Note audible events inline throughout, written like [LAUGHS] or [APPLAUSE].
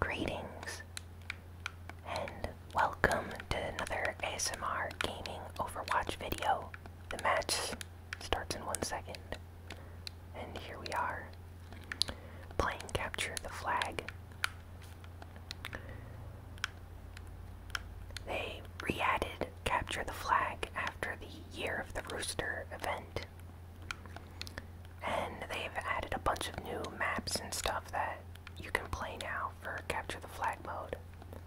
Greetings and welcome to another ASMR Gaming Overwatch video. The match starts in one second, and here we are playing Capture the Flag. They re added Capture the Flag after the Year of the Rooster event. And they've added a bunch of new maps and stuff that you can play now for capture the flag mode.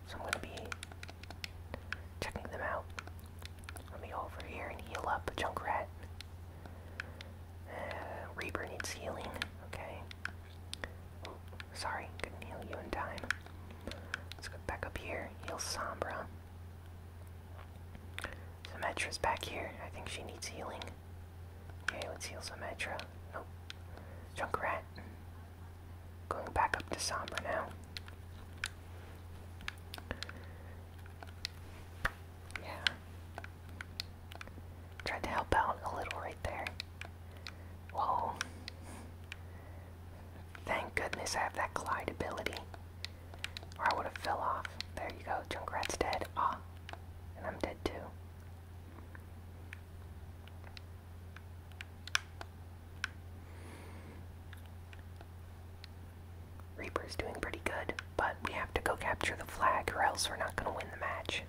So I'm going to be checking them out. Let me over here and heal up Junkrat. Uh, Reaper needs healing. Okay. sorry, couldn't heal you in time. Let's go back up here, heal Sombra. Symmetra's back here. I think she needs healing. Okay, let's heal Symmetra. Nope. Junkrat. Going back up to Sombra now. Yeah. Tried to help out a little right there. Whoa. Thank goodness I have that Clyde ability. Or I would have fell off. There you go, Junkrat's dead. Ah, and I'm dead too. Reaper's doing pretty good, but we have to go capture the flag or else we're not going to win the match.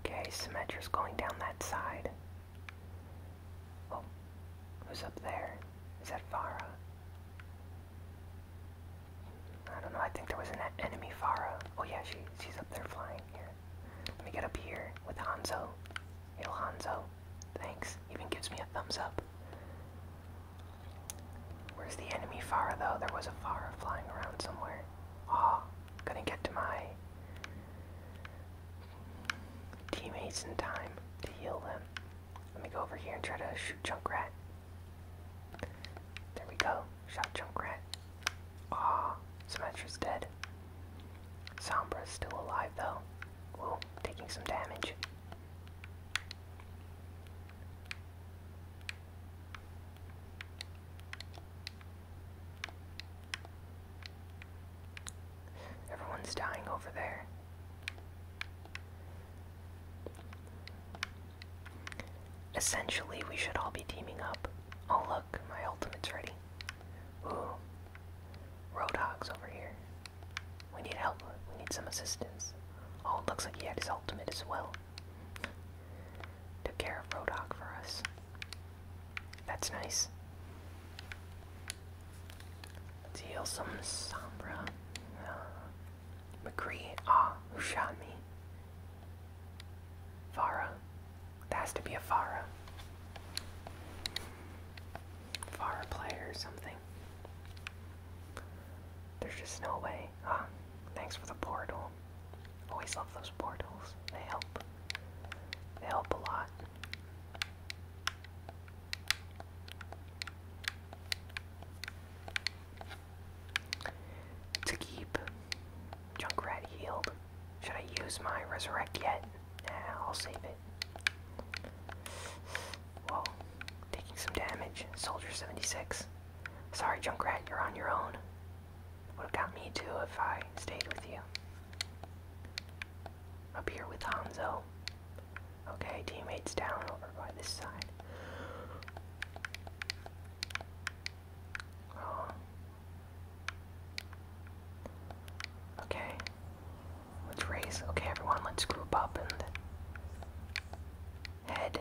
Okay, Symmetra's going down that side. Oh, who's up there? Is that Farah? I don't know, I think there was an enemy Farah. Oh yeah, she, she's up there flying here. Let me get up here with Hanzo. Yo, Hanzo. Thanks. Even gives me a thumbs up. Where's the enemy Farah, though? There was a Farah flying around somewhere. Ah, gonna get to my teammates in time to heal them. Let me go over here and try to shoot Junkrat. There we go. Shot Junkrat. Aw, Symmetra's dead. Sombra's still alive though. Whoa, taking some damage. Everyone's dying over there. Essentially, we should all be teaming up. Oh look, my ultimate's ready. Ooh. Roadhog's over here. We need help. We need some assistance. Oh, it looks like he had his ultimate as well. Took care of Rodok for us. That's nice. Let's heal some Sombra. Uh, McCree. Ah, who shot me? Farah. That has to be a Farah. Farah player or something. There's just no way. Ah, thanks for the portal. Always love those portals. They help. They help a lot. To keep Junkrat healed. Should I use my resurrect yet? Nah, I'll save it. Whoa. Taking some damage. Soldier 76. Sorry, Junkrat, you're on your own. Would have got me too if I stayed with you. Up here with Hanzo. Okay, teammates down over by this side. Oh. Okay. Let's race. Okay, everyone, let's group up and head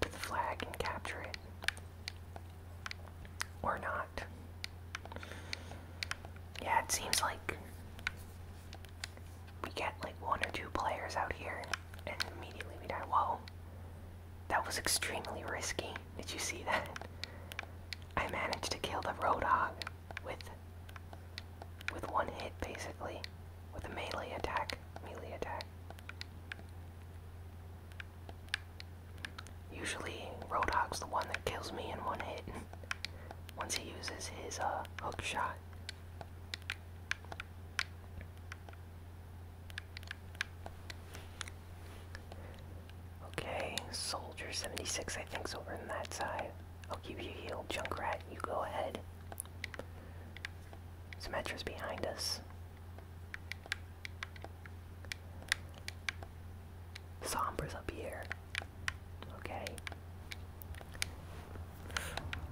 to the flag and capture it. Or not. Yeah, it seems like we get like one or two players out here and immediately we die. Whoa. That was extremely risky. Did you see that? [LAUGHS] I managed to kill the Roadhog with with one hit basically. With a melee attack. Melee attack. Usually, Roadhog's the one that kills me in one hit once he uses his uh, hook shot. Okay, Soldier 76, I think's over on that side. I'll keep you healed, Junkrat. You go ahead. Symmetra's behind us. Sombra's up here. Okay.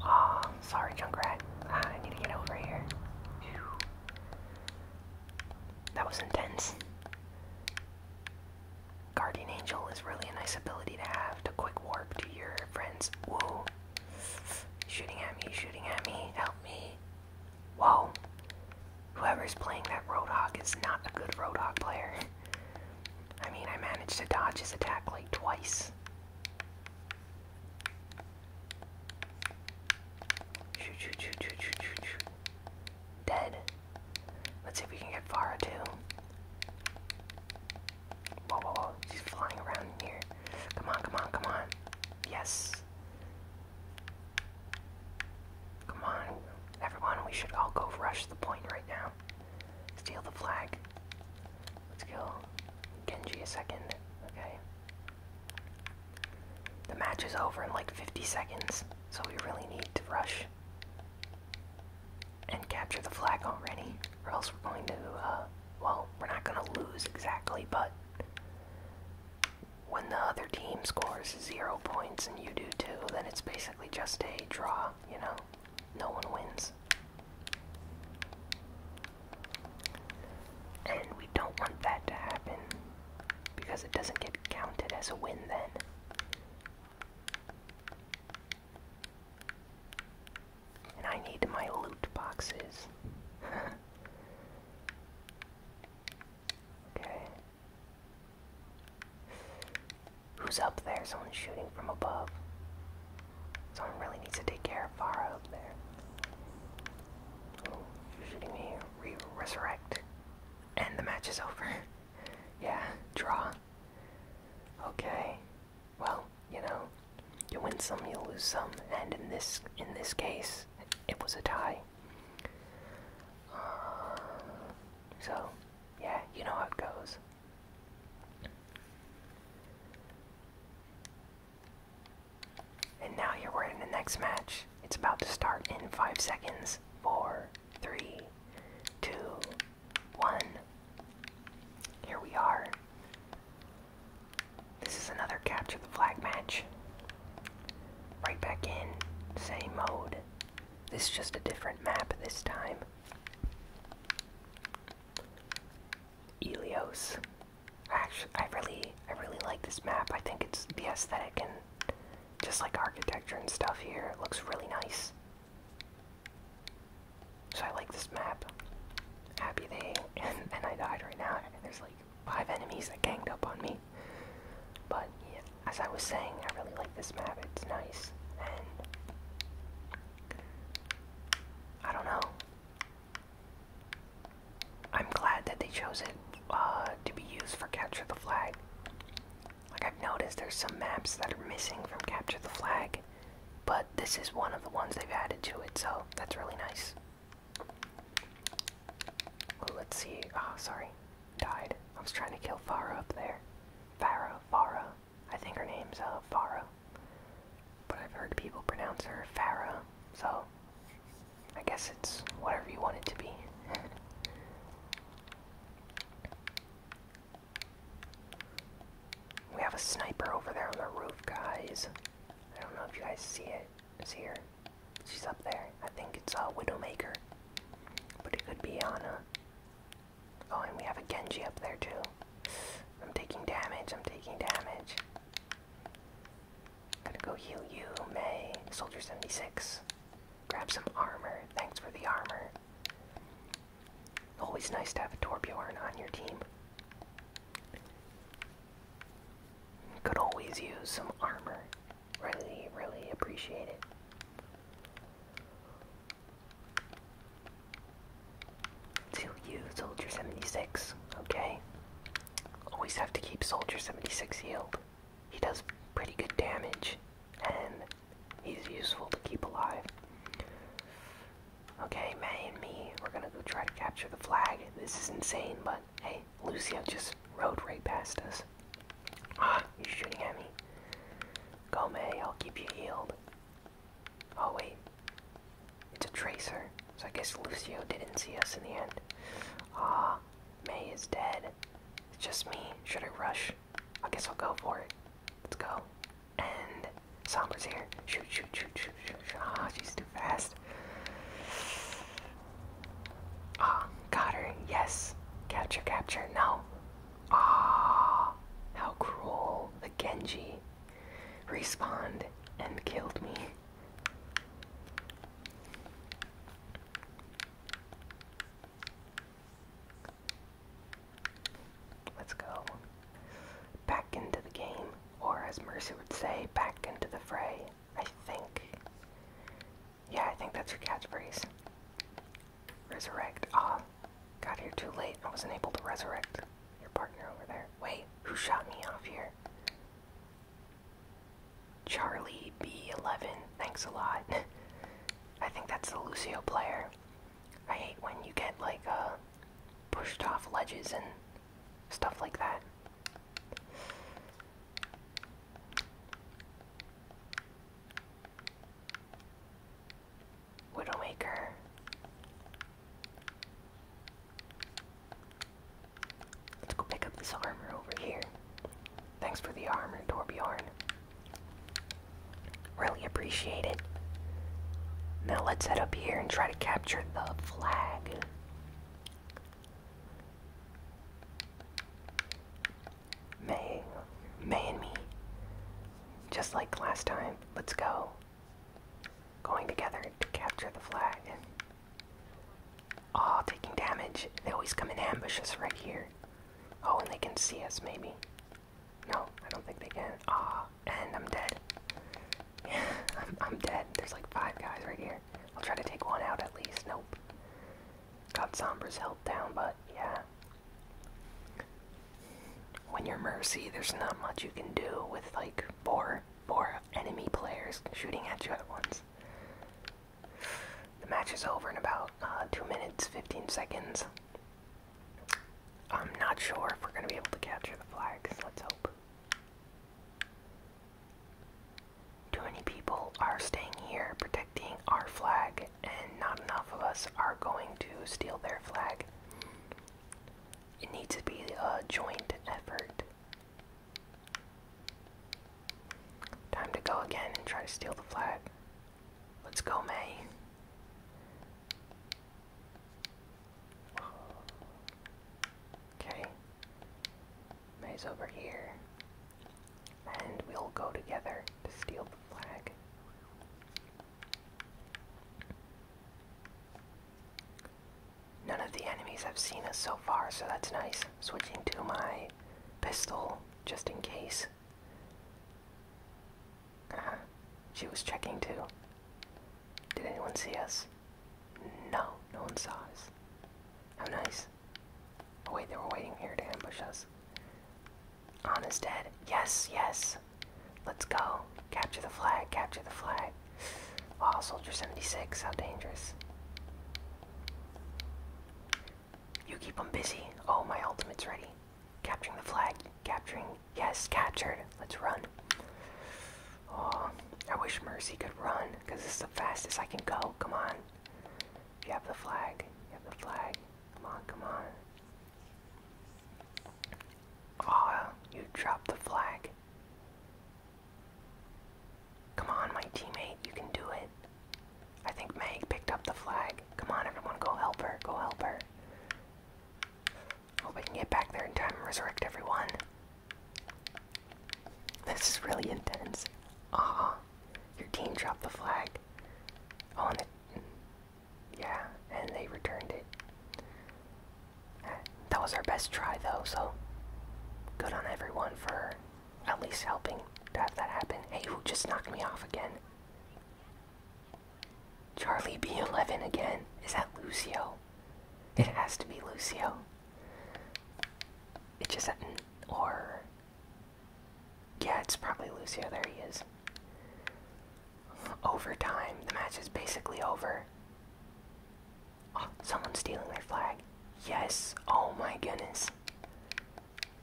Oh, sorry, Junkrat. Ah, I need to get over here. That was intense. Guardian Angel is really a nice ability to have to quick warp to your friends. Whoa. shooting at me, shooting at me, help me. Whoa. Whoever's playing that Roadhog is not a good Roadhog player. I mean, I managed to dodge his attack like twice. Dead. Let's see if we can get Farah too. Whoa, whoa, whoa. She's flying around here. Come on, come on, come on. Yes. Come on, everyone, we should all go rush the point right now. Steal the flag. Let's kill Genji a second, okay? The match is over in like 50 seconds, so we really need to rush and capture the flag already, or else we're going to, uh, well, we're not going to lose exactly, but when the other team scores zero points and you do too, then it's basically just a draw, you know? No one wins. And we don't want that to happen because it doesn't get counted as a win then. And I need my loot boxes. [LAUGHS] Okay. Who's up there? Someone's shooting from above. Someone really needs to take care of Farah up there. shooting me. resurrect. And the match is over. [LAUGHS] yeah, draw. Okay. Well, you know, you win some, you lose some, and in this in this case, it was a tie. Um, so, yeah, you know how it goes. And now you're we in the next match. It's about to start in five seconds. Four, three, two, one. Here we are. This is another capture the flag match. Right back in, same mode. This is just a different map this time. Elios. Actually, I really, I really like this map. I think it's the aesthetic and just like architecture and stuff here. It looks really nice. So I like this map. Happy they and, [LAUGHS] and I died right now. And There's like five enemies that ganged up on me. But yeah, as I was saying, I really like this map. It's nice, and I don't know. I'm glad that they chose it uh, to be used for capture the flag. Like I've noticed, there's some maps that are missing from capture the flag, but this is one of the ones they've added to it, so that's really nice. Well, let's see. Oh, sorry. Died. I was trying to kill Farah up there. Farah, Farah. I think her name's uh, Farah. But I've heard people pronounce her Farah, so I guess it's whatever you want it to be. [LAUGHS] we have a sniper over there on the roof, guys. I don't know if you guys see it. It's here. She's up there. I think it's a uh, Widowmaker. But it could be Ana. Oh, and we have a Genji up there too. I'm taking damage, I'm taking damage. Gotta go heal you, May. Soldier 76. Grab some armor. Thanks for the armor. Always nice to have a Torbjorn on your team. Could always use some armor. Really, really appreciate it. To you, Soldier 76, okay? Always have to keep Soldier 76 healed. He does pretty good damage, and he's useful to keep alive. Okay, May and me, we're gonna go try to capture the flag. This is insane, but Hey, Lucio just rode right past us. Ah, he's shooting at me. Gome, I'll keep you healed. Oh wait, it's a tracer. So I guess Lucio didn't see us in the end. Ah, May is dead. It's just me. Should I rush? I guess I'll go for it. Let's go. And Sombra's here. Shoot, shoot, shoot, shoot, shoot. Ah, she's too fast. Ah, oh, Yes. Capture, capture. No. Ah, how cruel. The Genji respawned and killed me. Let's go. Back into the game, or as Mercy would say, back into the fray, I think. Yeah, I think that's your catchphrase. Resurrect. Ah, got here too late. I wasn't able to resurrect your partner over there. Wait, who shot me off here? Charlie B11. Thanks a lot. [LAUGHS] I think that's the Lucio player. I hate when you get like uh pushed off ledges and stuff like that. Widowmaker. Let's go pick up this armor over here. Thanks for the armor, Torbjorn. Really appreciate it. Now let's head up here and try to capture the flag. May, May and me. Just like last time, let's go. Going together to capture the flag. Aw, taking damage. They always come in ambushes right here. Oh, and they can see us, maybe. No, I don't think they can. Ah, oh, and I'm dead. [LAUGHS] I'm, I'm dead. There's like five guys right here. I'll try to take one out at least. Nope. Got Sombra's help down, but yeah. When you're Mercy, there's not much you can do with like four, four enemy players shooting at you at once. The match is over in about uh, 2 minutes, 15 seconds. I'm not sure if we're going to be able to capture the flags. Let's hope. Too many people are staying here protecting our flag, and not enough of us are going to steal their flag. It needs to be a joint effort. Time to go again and try to steal the flag. Let's go, May. Okay. May's over here. And we'll go together to steal the flag. None of the enemies have seen us so far, so that's nice. Switching to my pistol, just in case. Uh-huh. She was checking too. Did anyone see us? No, no one saw us. How nice. Oh wait, they were waiting here to ambush us. On is dead. Yes, yes. Let's go. Capture the flag, capture the flag. oh, Soldier 76, how dangerous. You keep them busy. Oh, my ultimate's ready. Capturing the flag. Capturing. Yes, captured. Let's run. Oh, I wish Mercy could run, because this the fastest I can go. Come on. You have the flag. You have the flag. Come on, come on. Aw, you dropped the flag. Come on, my teammate. You can do it. I think Meg picked up the flag. Come on, everyone. Go help her. Go help her. Hope we can get back there in time and resurrect everyone. This is really intense. Aw. Your team dropped the flag on it. Yeah, and they returned it. That was our best try, though, so good on everyone for at least helping to have that happen. Hey, who just knocked me off again? Charlie B11 again. Is that Lucio? It has to be Lucio. It just, or yeah, it's probably Lucio. There he is. Overtime. The match is basically over. Oh, someone's stealing their flag. Yes. Oh my goodness.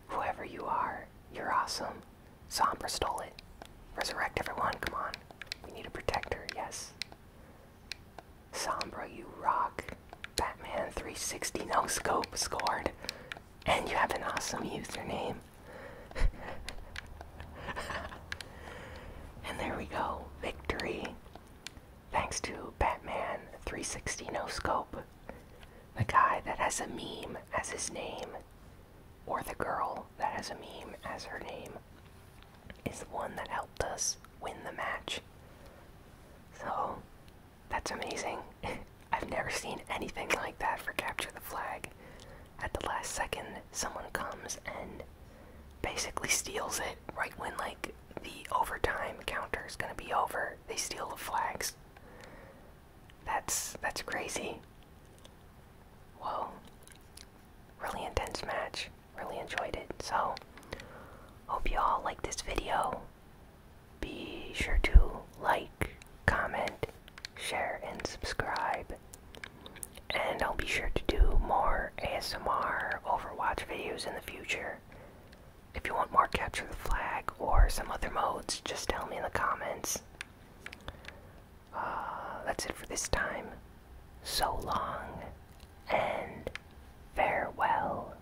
Whoever you are, you're awesome. Sombra stole it. Resurrect everyone. Come on. We need a protector. Yes. Sombra, you rock. Batman 360 No Scope scored, and you have an awesome username. [LAUGHS] and there we go, victory. Thanks to Batman 360 No Scope, the guy that has a meme as his name, or the girl that has a meme as her name, is the one that helped us win the match. So, that's amazing. [LAUGHS] I've never seen anything like that for Capture the Flag. At the last second, someone comes and basically steals it right when, like, the overtime counter is gonna be over. They steal the flags. That's that's crazy. Whoa. Really intense match. Really enjoyed it. So, hope you all like this video. Be sure to like, comment, share, and subscribe. And I'll be sure to do more ASMR Overwatch videos in the future. If you want more Capture the Flag or some other modes, just tell me in the comments. Uh, that's it for this time. So long and farewell.